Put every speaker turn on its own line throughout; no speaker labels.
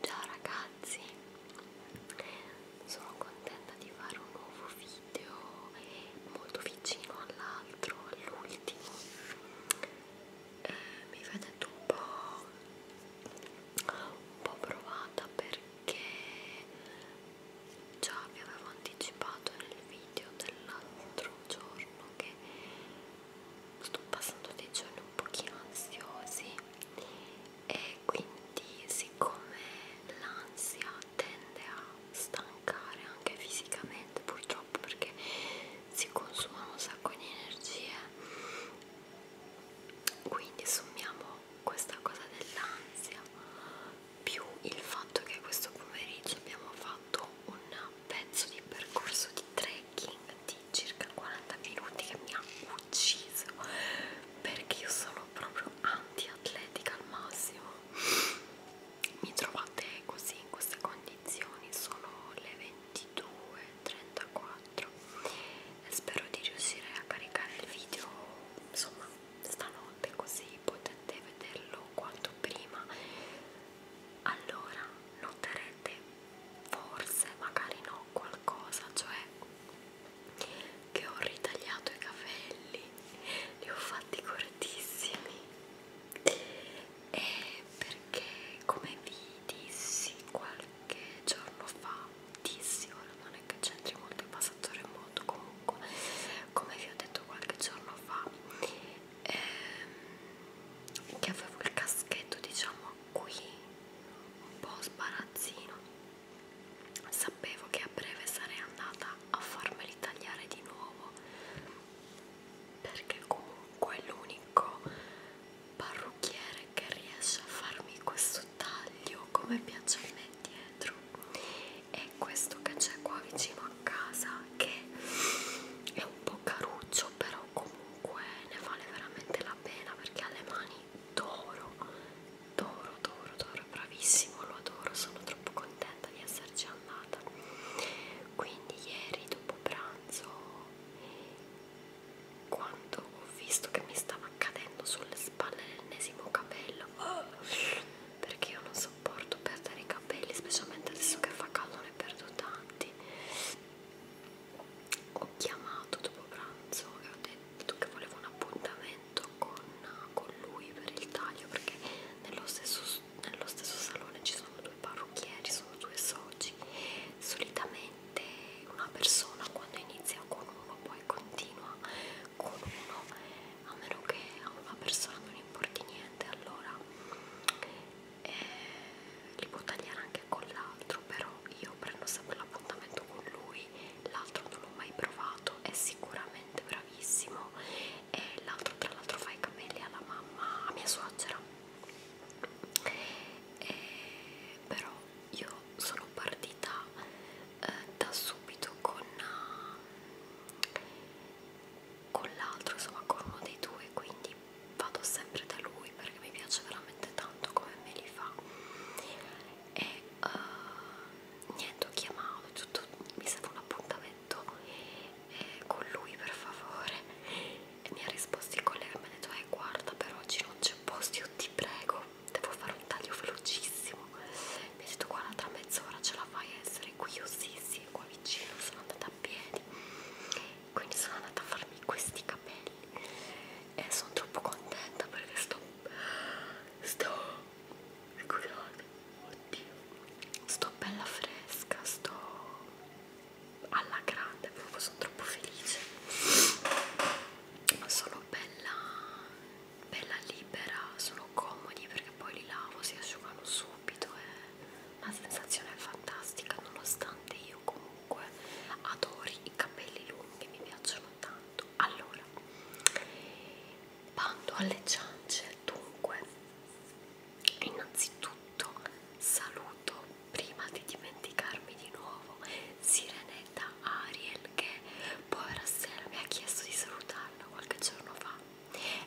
Ciao ragazzi, sono contenta di fare un nuovo video molto vicino all'altro, all'ultimo. Eh, mi vedete un po', un po' provata perché già vi avevo anticipato nel video dell'altro giorno che sto passando dei giorni un pochino ansiosi e quindi siccome l'ansia tende a stancare anche fisicamente purtroppo perché si consumano un sacco di energie quindi sommiamo questa cosa dell'ansia più il fatto che questo pomeriggio abbiamo fatto un pezzo di percorso di trekking di circa 40 minuti che mi ha ucciso perché io sono proprio anti-atletica al massimo mi trovate così in queste condizioni sono le 22.34 spero di riuscire a caricare il video insomma stanotte così potete vederlo quanto prima allora noterete forse, magari no, qualcosa, cioè che ho ritagliato i capelli, li ho fatti cortissimi e perché come vi dissi qualche giorno fa, dissi, ora non è che c'entri molto il passato remoto comunque, come vi ho detto qualche giorno fa, ehm, che avevo il caschetto diciamo qui un po' sbarazzino sapevo che a breve sarei andata a farmeli tagliare di nuovo perché comunque è l'unico parrucchiere che riesce a farmi questo taglio come piace a me dietro e questo che c'è qua vicino a casa che è un po' caruccio però però comunque ne vale veramente la pena perché ha le mani d'oro, d'oro, d'oro, d'oro, bravissimo, lo adoro, sono troppo contenta di esserci andata. Quindi ieri dopo pranzo, quando ho visto che mi stava cadendo sulle spalle l'ennesimo capello, perché io non sopporto perdere i capelli, specialmente adesso che fa caldo ne perdo tanti ho chiamato dopo pranzo e ho detto che volevo un appuntamento con, con lui per il taglio perché nello stesso, nello stesso salone ci sono due parrucchieri, sono due soci solitamente una persona quando inizia con uno poi continua con uno a meno che a una persona non importi niente allora e eh, li può tagliare anche con l'altro però io prendo sempre l'appuntamento con lui l'altro non l'ho mai provato è sicuramente bravissimo e l'altro tra l'altro fa i capelli alla mamma a mia suocera e, eh, però io sono partita eh, da subito con eh, con l'altro, insomma con uno dei due, quindi vado sempre da lui perché mi piace veramente tanto come me li fa e uh, niente ho chiamato, tutto, mi serve un appuntamento eh, con lui per favore e mi ha risposto il collega, mi ha detto eh guarda per oggi non c'è posto, io ti prego, devo fare un taglio velocissimo mi ha detto guarda tra mezz'ora ce la fai a essere qui, io sì sì, è qua vicino, sono andata a piedi quindi sono andata a farmi questi capelli e sono troppo contenta perché sto sto scusate ecco oddio sto bella fresca sto alla grande proprio sono troppo felice sono bella bella libera sono comodi perché poi li lavo si asciugano su subito e la sensazione è fantastica nonostante io comunque adori i capelli lunghi, mi piacciono tanto. Allora, bando alle ciance, dunque, innanzitutto saluto prima di dimenticarmi di nuovo Sirenetta Ariel che povera sera mi ha chiesto di salutarla qualche giorno fa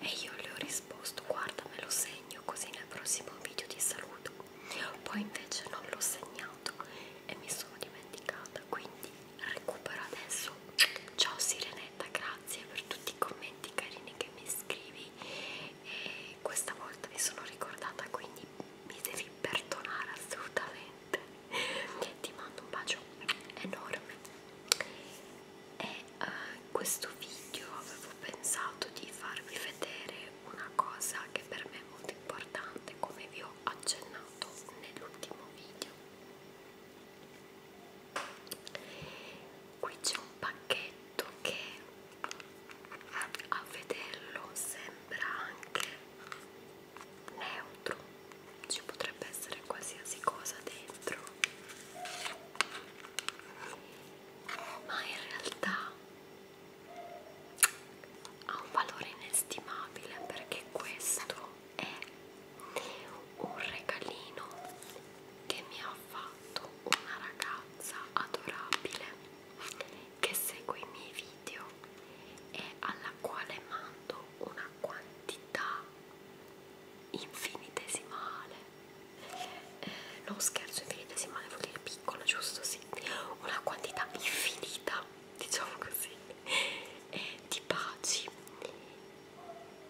e io le ho risposto, guarda me lo segno così nel prossimo video ti saluto. Poi invece non l'ho segnato e mi sono dimenticata, quindi recupero adesso. Ciao Sirenetta, grazie per tutti i commenti carini che mi scrivi e questa volta mi sono ricordata, quindi mi devi perdonare assolutamente. Ti mando un bacio enorme e eh, in questo video avevo pensato di farvi vedere una cosa che per me è molto importante come vi ho accennato nell'ultimo video qui c'è un pacchetto che a vederlo sembra anche neutro ci potrebbe essere qualsiasi cosa dentro ma in realtà ha un valore inestimabile perché questo è un regalino che mi ha fatto una ragazza adorabile che segue i miei video e alla quale mando una quantità infinitesimale eh, non scherzo infinitesimale vuol dire piccola giusto sì una quantità infinita diciamo così eh, di baci e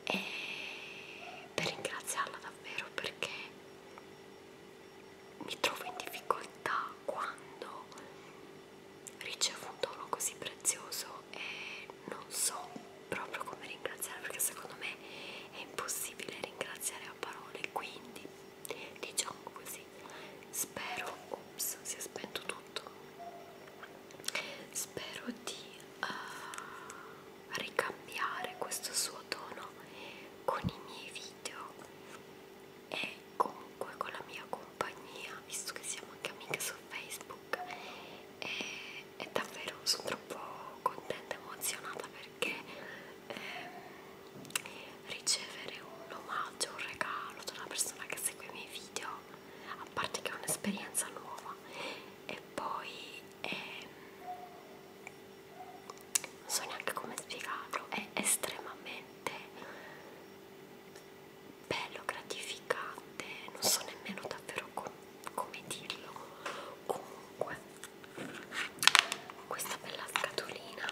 eh, per ringraziarla davvero perché mi trovo in difficoltà quando ricevo un dono così prezioso e eh, non so proprio come ringraziare perché secondo me è impossibile ringraziare a parole quindi diciamo così spero ops si è spento tutto spero di uh, ricambiare questo suo tono con i miei video e comunque con la mia compagnia visto che siamo anche amiche su facebook e e davvero sono troppo contenta e emozionata perché ehm, ricevere un omaggio, un regalo da una persona che segue i miei video, a parte che è un'esperienza nuova e poi ehm, non so neanche come spiegarlo, è estremamente bello, gratificante, non so nemmeno davvero come come dirlo comunque questa bella scatolina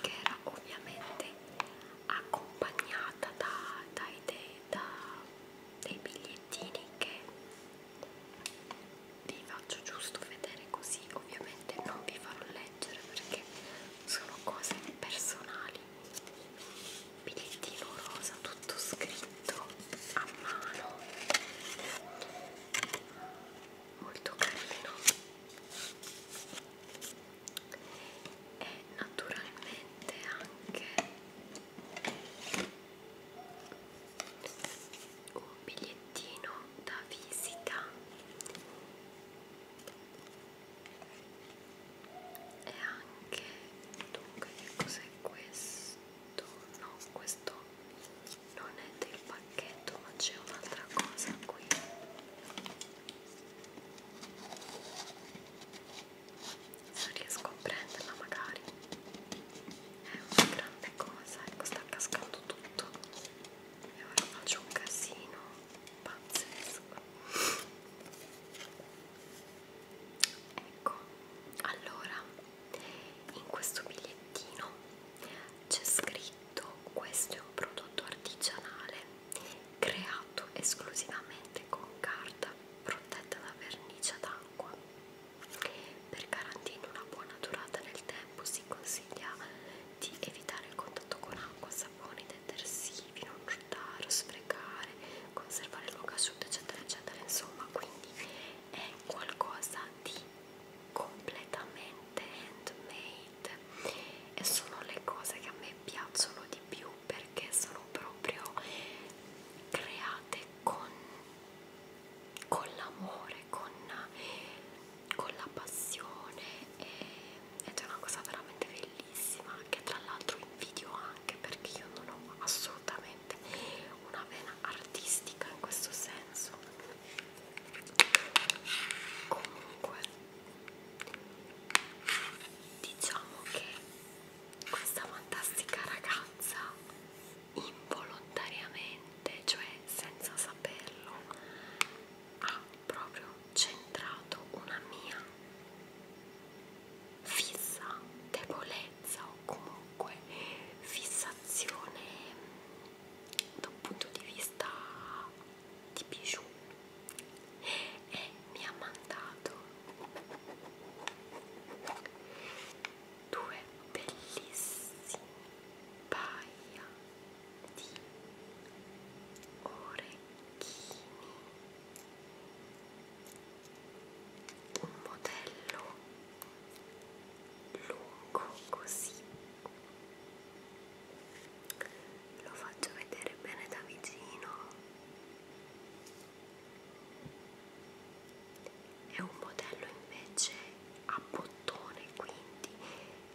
che era ovviamente accompagnata da, dai de, da, dei bigliettini che vi faccio giusto vedere così ovviamente non vi farò leggere perché sono cose personali bigliettino rosa tutto scritto a mano molto carino e naturalmente anche un bigliettino da visita e anche dunque che cos'è questo? No, questo non è del pacchetto, ma c'è un'altra cosa qui. Non riesco a prenderla magari. È una grande cosa, ecco sta cascando tutto. E ora faccio un casino pazzesco ecco allora in questo bigliettino c'è scritto questo è un prodotto artigianale creato esclusivamente con carta protetta da vernice d'acqua per garantire una buona durata nel tempo si consiglia di evitare il contatto con acqua, saponi, detersivi cattivi, non ruttare, sprecare, conservare il luogo asciutto, eccetera, eccetera. Insomma, quindi è qualcosa di completamente handmade e sono le cose che a me piacciono di più perché sono proprio create con, con l'amore, con, con la passione ed è una cosa veramente bellissima bellissima che tra l'altro invidio anche perché io non ho assolutamente una vena artistica in questo senso comunque diciamo che questa fantastica ragazza involontariamente cioè senza saperlo ha proprio centrato una mia fissa debolezza o comunque fissazione da un punto di vista di bijou e mi ha mandato due bellissimi paia di orecchini un modello lungo così lo faccio vedere bene da vicino è un modello invece a bottone quindi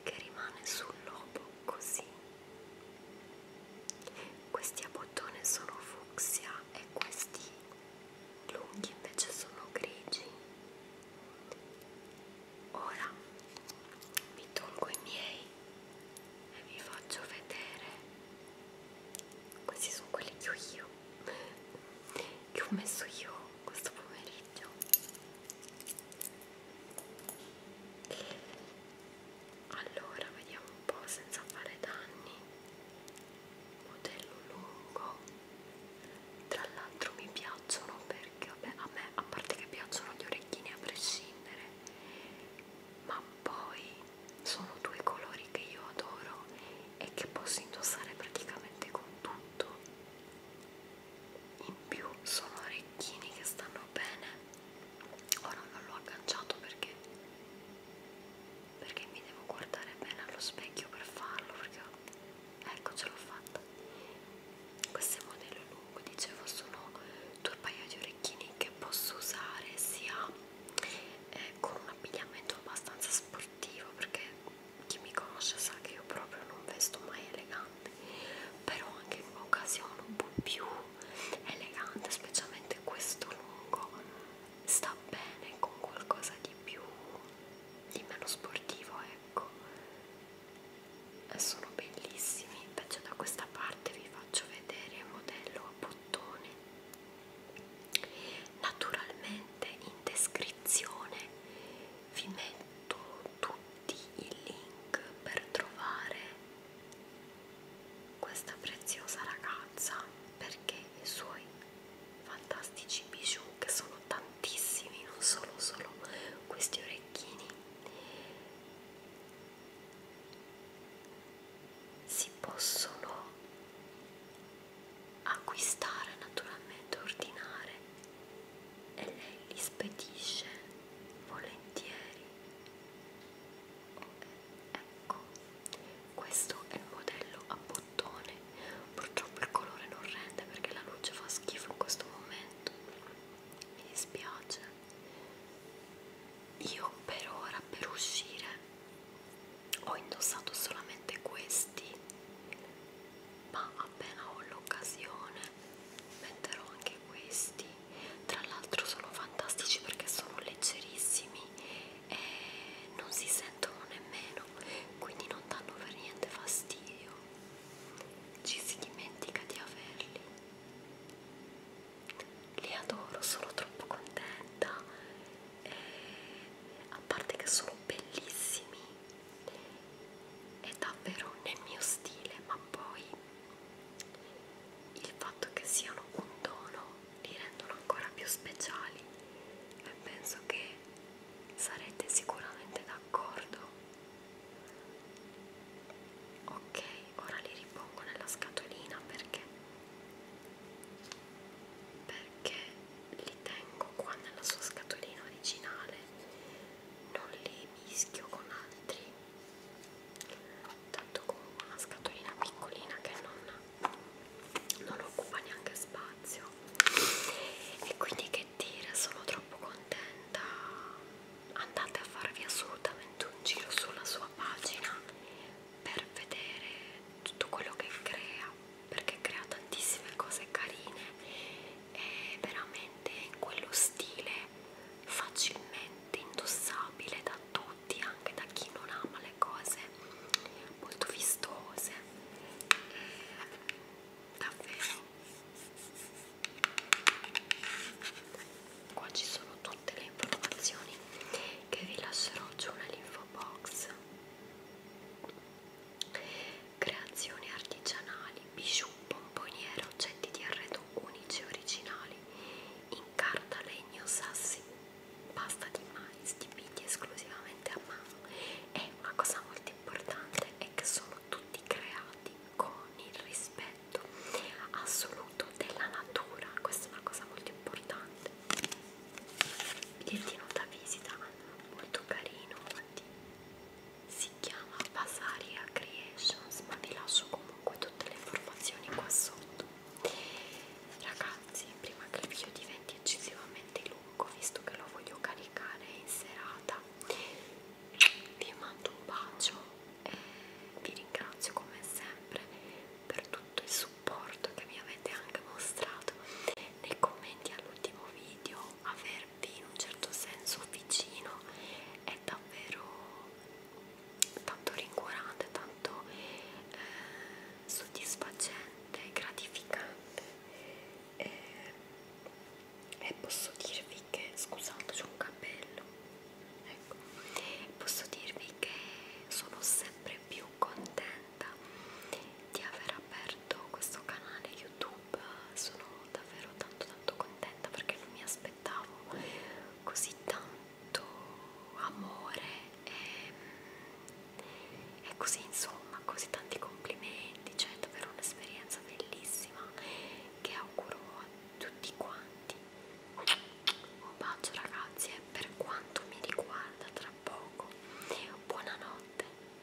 che rimane sul lobo così questi a bottone sono fucsia e questi lunghi invece sono grigi. Ora mi tolgo i miei e vi faccio vedere. Questi sono quelli che ho io, che ho messo io questo pomeriggio allora vediamo un po' senza fare danni modello lungo tra l'altro mi piacciono perché vabbè a me a parte che piacciono gli orecchini a prescindere ma poi sono due colori che io adoro e che posso indossare praticamente con tutto in più sono orecchini che stanno bene ora non l'ho agganciato perché perché mi devo guardare bene allo specchio per farlo perché ecco ce l'ho fatta questo è modello lungo dicevo sono due paio di orecchini che posso usare sia eh, con un abbigliamento abbastanza sportivo perché chi mi conosce sa che io proprio non vesto mai elegante però anche in occasione un po' più elegante, specialmente questo lungo sta bene con qualcosa di più di meno sportivo, ecco. E eh, sono bellissimi. Invece da questa parte vi faccio vedere il modello a bottone. Naturalmente in descrizione vi metto tutti i link per trovare questa preziosa ragazza perché i suoi fantastici bijou che sono tantissimi non sono solo questi orecchini si possono acquistare naturalmente ordinare e lei li spedisce volentieri. Ecco, questo è il modello a bottone, purtroppo il colore non rende perché la luce fa schifo in questo momento, mi dispiace. Io per ora, per uscire, ho indossato solamente questi, ma appena ho l'occasione metterò anche questi tra l'altro sono fantastici perché sono leggerissimi e non si sentono nemmeno quindi non danno per niente fastidio ci si dimentica di averli li adoro sono troppo contenta e a parte che sono bellissimi è davvero nel mio stile ma poi il fatto che siano un dono li rendono ancora più speciali e penso che sarete sicuramente d'accordo ok ora li ripongo nella scatolina perché perché li tengo qua nella sua scatolina originale non li mischio con altri tanto con una scatolina piccolina che non, non occupa neanche spazio e quindi che dire sono troppo contenta andate a farvi assolutamente un giro sulla sua pagina per vedere tutto quello che crea perché crea tantissime cose carine è veramente in quello stile facilmente indossabile da tutti, anche da chi non ama le cose molto vistose. Davvero. Qua ci sono tutte le informazioni che vi lascerò giù nell'info box Creazioni artigianali, bijou, bomboniere, oggetti di arredo unici e originali, in carta, legno, sassi, pasta di mais, dipinti esclusivamente a mano. E una cosa molto importante è che sono tutti creati con il rispetto assoluto della natura. Questa è una cosa molto importante. Bigliettino da visita molto carino. Infatti si chiama Basaria Creations ma vi lascio comunque tutte le informazioni qua sotto ragazzi prima che il video diventi eccessivamente lungo visto che lo voglio caricare in serata vi mando un bacio e vi ringrazio come sempre per tutto il supporto che mi avete anche mostrato nei commenti all'ultimo video avervi in un certo senso vicino è davvero tanto rincuorante, tanto eh, soddisfacente, gratificante e, eh, e posso dirvi che, scusate c'è un capello, ecco, posso dirvi che sono sempre più contenta di aver aperto questo canale YouTube, sono davvero tanto tanto contenta perché non mi aspettavo così tanto amore e, e così insomma così tanti complimenti cioè è davvero un'esperienza bellissima che auguro a tutti quanti un bacio ragazzi e per quanto mi riguarda tra poco buonanotte